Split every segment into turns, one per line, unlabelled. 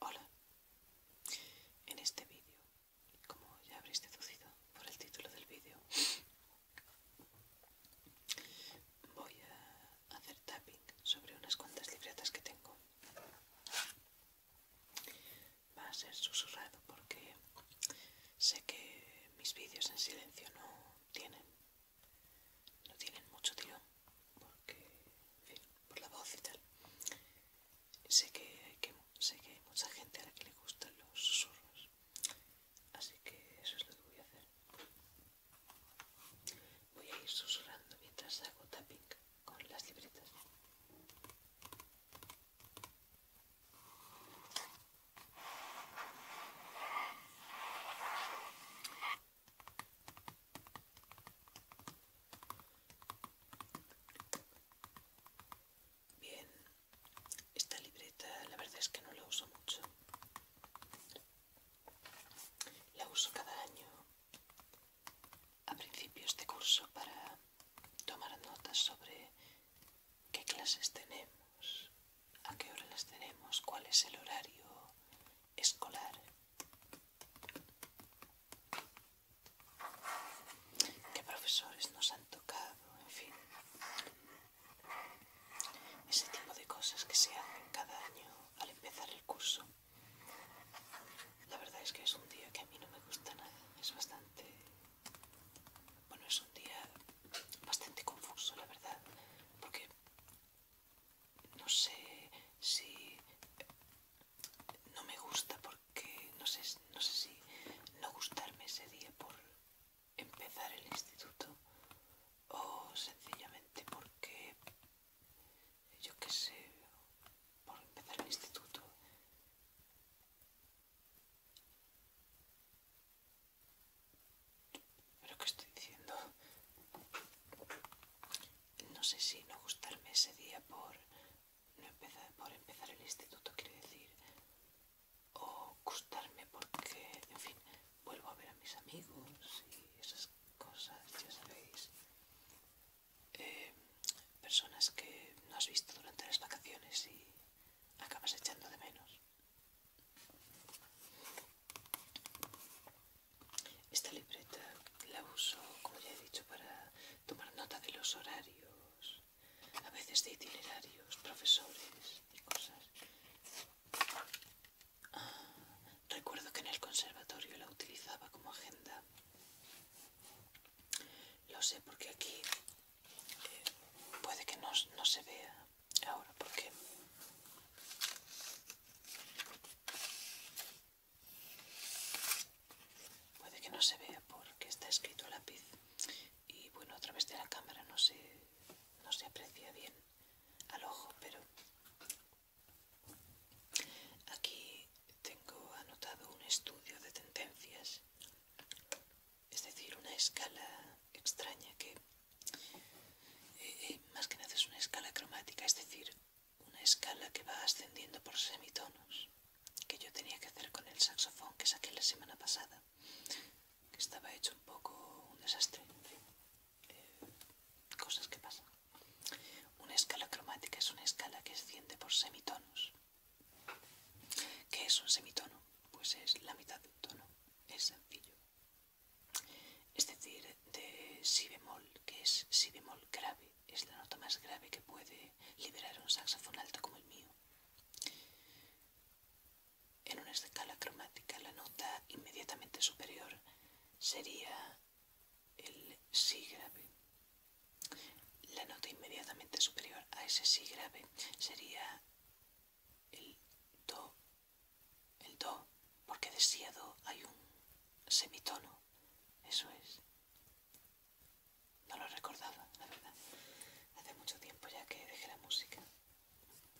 Hola. En este vídeo, como ya habréis deducido por el título del vídeo, voy a hacer tapping sobre unas cuantas libretas que tengo. Va a ser susurrado porque sé que mis vídeos en silencio no tienen no tienen mucho tío porque, por la voz y tal. Sé que, hay sé mucha gente a la que le gustan los susurros, así que eso es lo que voy a hacer. Voy a ir susurrando mientras hago tapping con las libretas. Bien, esta libreta la verdad es que no la uso mucho. La uso cada año a principios de curso para tomar notas sobre qué clases tenemos, a qué hora las tenemos, cuál es el horario escolar qué profesores nos han tocado, en fin. Ese tipo de cosas que se hacen cada año al empezar el curso. La verdad es que es un día que a mí no me gusta nada. Es bastante... Bueno, es un día bastante confuso, la verdad. Porque no sé si no me gusta porque no sé, si no gustarme ese día por empezar el instituto o sencillamente porque yo qué sé por empezar el instituto pero qué estoy diciendo no sé si no gustarme ese día por, empezar, por empezar el instituto, quiere decir, o gustarme porque, en fin, vuelvo a ver a mis amigos y esas cosas, ya sabéis. Eh, personas que no has visto durante las vacaciones y acabas echando de menos. Esta libreta la uso, como ya he dicho, para tomar nota de los horarios, a veces de itinerarios, profesores y cosas. Ah, recuerdo que en el conservatorio la utilizaba como agenda. Lo sé porque aquí eh, puede que no, no se vea ahora porque Puede que no se vea porque está escrito a lápiz y bueno, a través de la cámara no se, no se aprecia bien al ojo, pero aquí tengo anotado un estudio de tendencias, es decir, una escala extraña que eh, eh, más que nada es una escala cromática, es decir, una escala que va ascendiendo por semitonos, que yo tenía que hacer con el saxofón que saqué la semana pasada, que estaba hecho un poco un desastre. Eh, cosas que pasan. Una escala cromática es una escala que asciende por semitonos. ¿Qué es un semitono? Pues es la mitad de un tono. Es sencillo es decir, de si bemol, que es si bemol grave, es la nota más grave que puede liberar un saxofón alto como el mío. En una escala cromática, la nota inmediatamente superior sería el si grave. La nota inmediatamente superior a ese si grave sería el do el do, porque de hay un semitono. Eso es. No lo recordaba, la verdad. Hace mucho tiempo ya que dejé la música.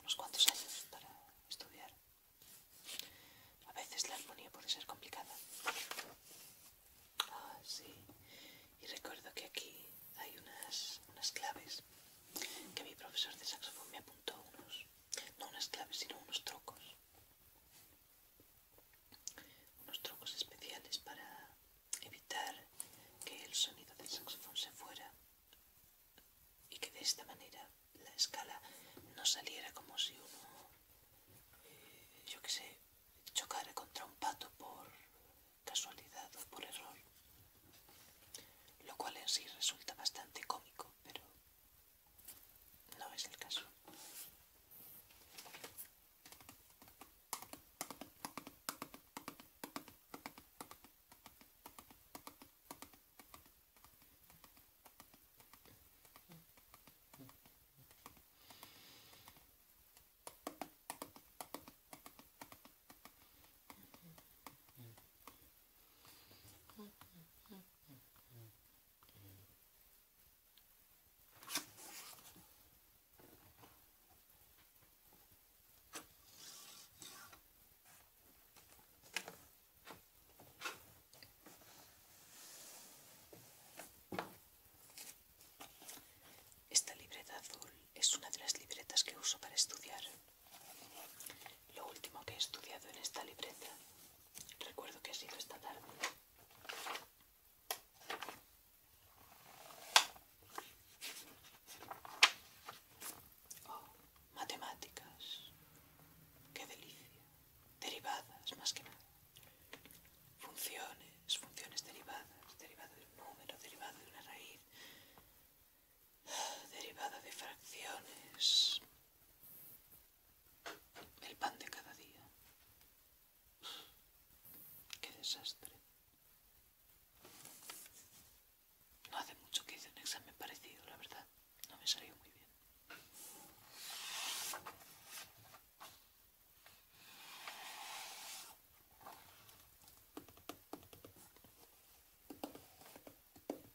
Unos cuantos años para estudiar. A veces la armonía puede ser complicada. Ah, sí. Y recuerdo que aquí hay unas, unas claves que mi profesor de saxofón me apuntó unos no unas claves, sino unos trocos. Unos trocos especiales para evitar que el sonido del saxofón se fuera y que de esta manera la escala no saliera como si uno, eh, yo qué sé, chocara contra un pato por casualidad o por error. Lo cual en sí resulta bastante cómico, pero no es el caso esta libreta azul es una de las libretas que uso para estudiar. Lo último que he estudiado en esta libreta, recuerdo que ha sido esta tarde. Oh, matemáticas. Qué delicia. Derivadas, más que nada. Funciones, funciones derivadas, derivado de un número, derivado de una raíz derivada de fracciones, el pan de cada día. ¡Qué desastre! No hace mucho que hice un examen parecido, la verdad. No me salió muy bien.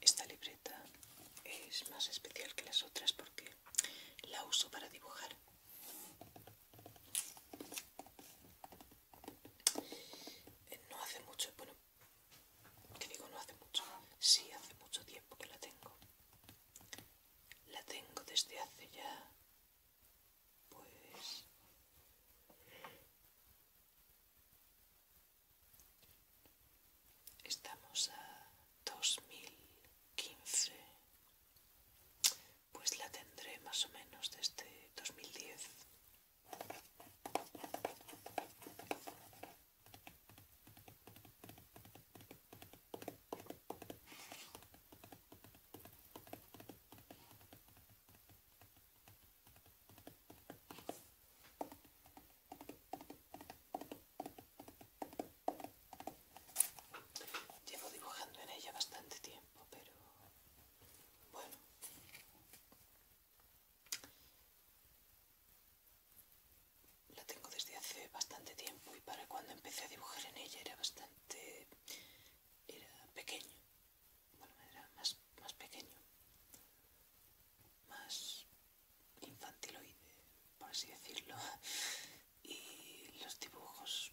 Esta libreta es más especial que las otras porque la uso para dibujar. No hace mucho, bueno, que digo, no hace mucho. Sí, hace mucho tiempo que la tengo. La tengo desde hace ya... Pues... Estamos a 2015. Pues la tendré más o menos desde 2010. Llevo dibujando en ella bastante tiempo, pero bueno la tengo desde hace bastante tiempo y para cuando empecé a dibujar en ella era bastante era pequeño era más, pequeño más infantiloide por así decirlo y los dibujos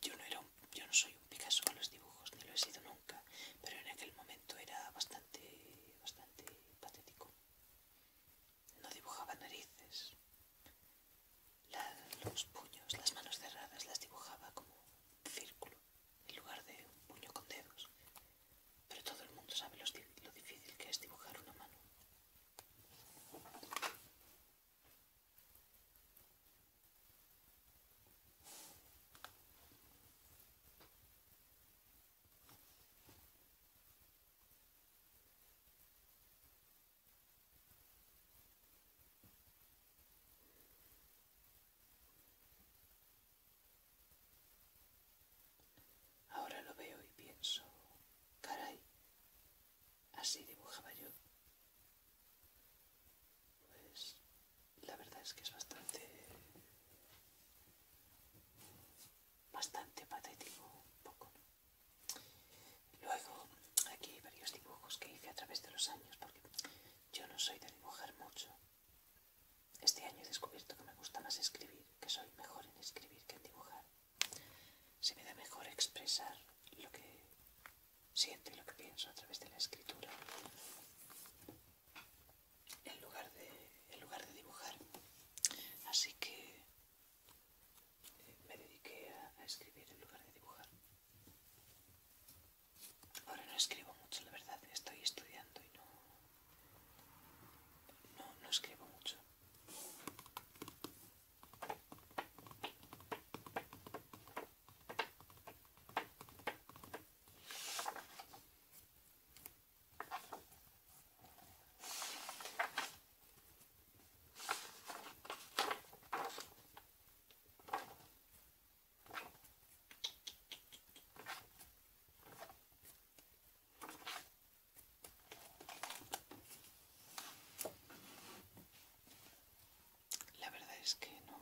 yo no era yo no soy un Picasso a los dibujos ni lo he sido nunca pero en aquel momento era bastante bastante, patético. No dibujaba narices. los puños, las manos cerradas, las dibujaba como un círculo en lugar de un puño con dedos. Pero todo el mundo sabe lo difícil que es dibujar una mano. Ahora lo veo y pienso, caray, así dibujaba yo. Pues la verdad es que es bastante bastante patético un poco luego aquí hay varios dibujos que hice a través de los años porque yo no soy de dibujar mucho este año he descubierto que me gusta más escribir que soy mejor en escribir que en dibujar se me da mejor expresar lo que siento y lo que pienso a través de la escritura en lugar de, en lugar de dibujar. Así que eh, me dediqué a, escribir en lugar de dibujar. Ahora no escribo mucho, la verdad, estoy estudiando y no, no, no escribo mucho. La verdad es que no,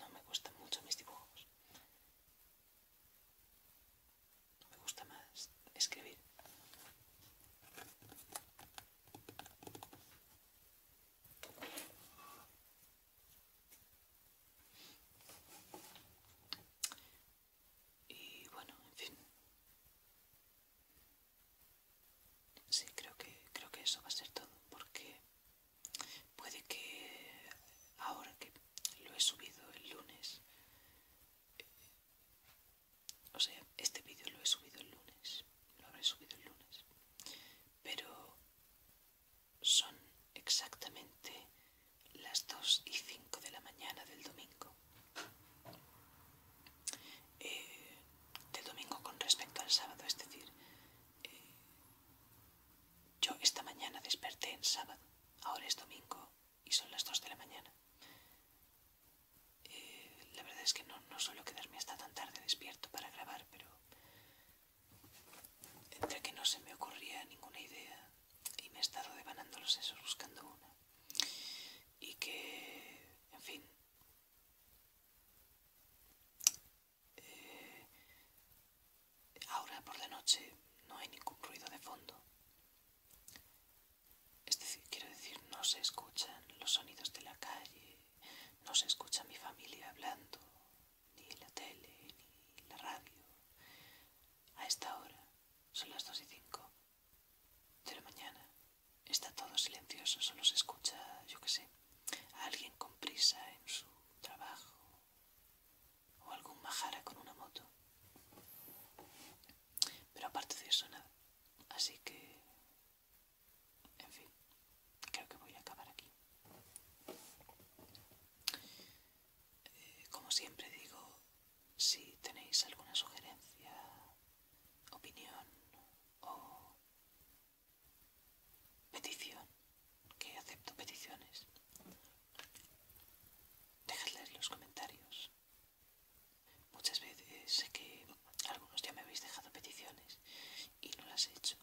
no me gustan mucho mis dibujos. Me gusta más escribir. Y bueno, en fin. Sí, creo que creo que eso va a ser todo porque Puede que ahora que lo he subido el lunes, o sea, este vídeo lo he subido el lunes, lo habré subido el lunes, pero son exactamente las 2 y 5 de la mañana del domingo. Eh, del domingo con respecto al sábado, es decir, eh, yo esta mañana desperté en sábado, ahora es domingo y son las dos de la mañana. Eh, la verdad es que no, no suelo quedarme hasta tan tarde despierto para grabar, pero entre que no se me ocurría ninguna idea y me he estado devanando los sesos buscando una. Y que, en fin, eh, ahora por la noche no hay ningún ruido de fondo. Es decir, quiero decir, no se escuchan los sonidos de la calle, no se escucha mi familia hablando, ni la tele, ni la radio. A esta hora, son las dos y 5 de la mañana, está todo silencioso, solo se escucha, yo qué sé, alguien con prisa en su trabajo o algún majara con una moto. Pero aparte de eso, nada. Así que, en fin, creo que voy a acabar aquí. Eh, como siempre digo, si tenéis alguna sugerencia, opinión o Petición. Que acepto peticiones. Dejadle en los comentarios. Muchas veces sé que algunos ya me habéis dejado peticiones y no las he hecho.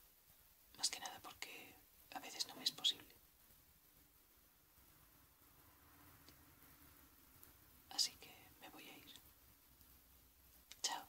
Más que nada porque a veces no me es posible. Así que me voy a ir. Chao.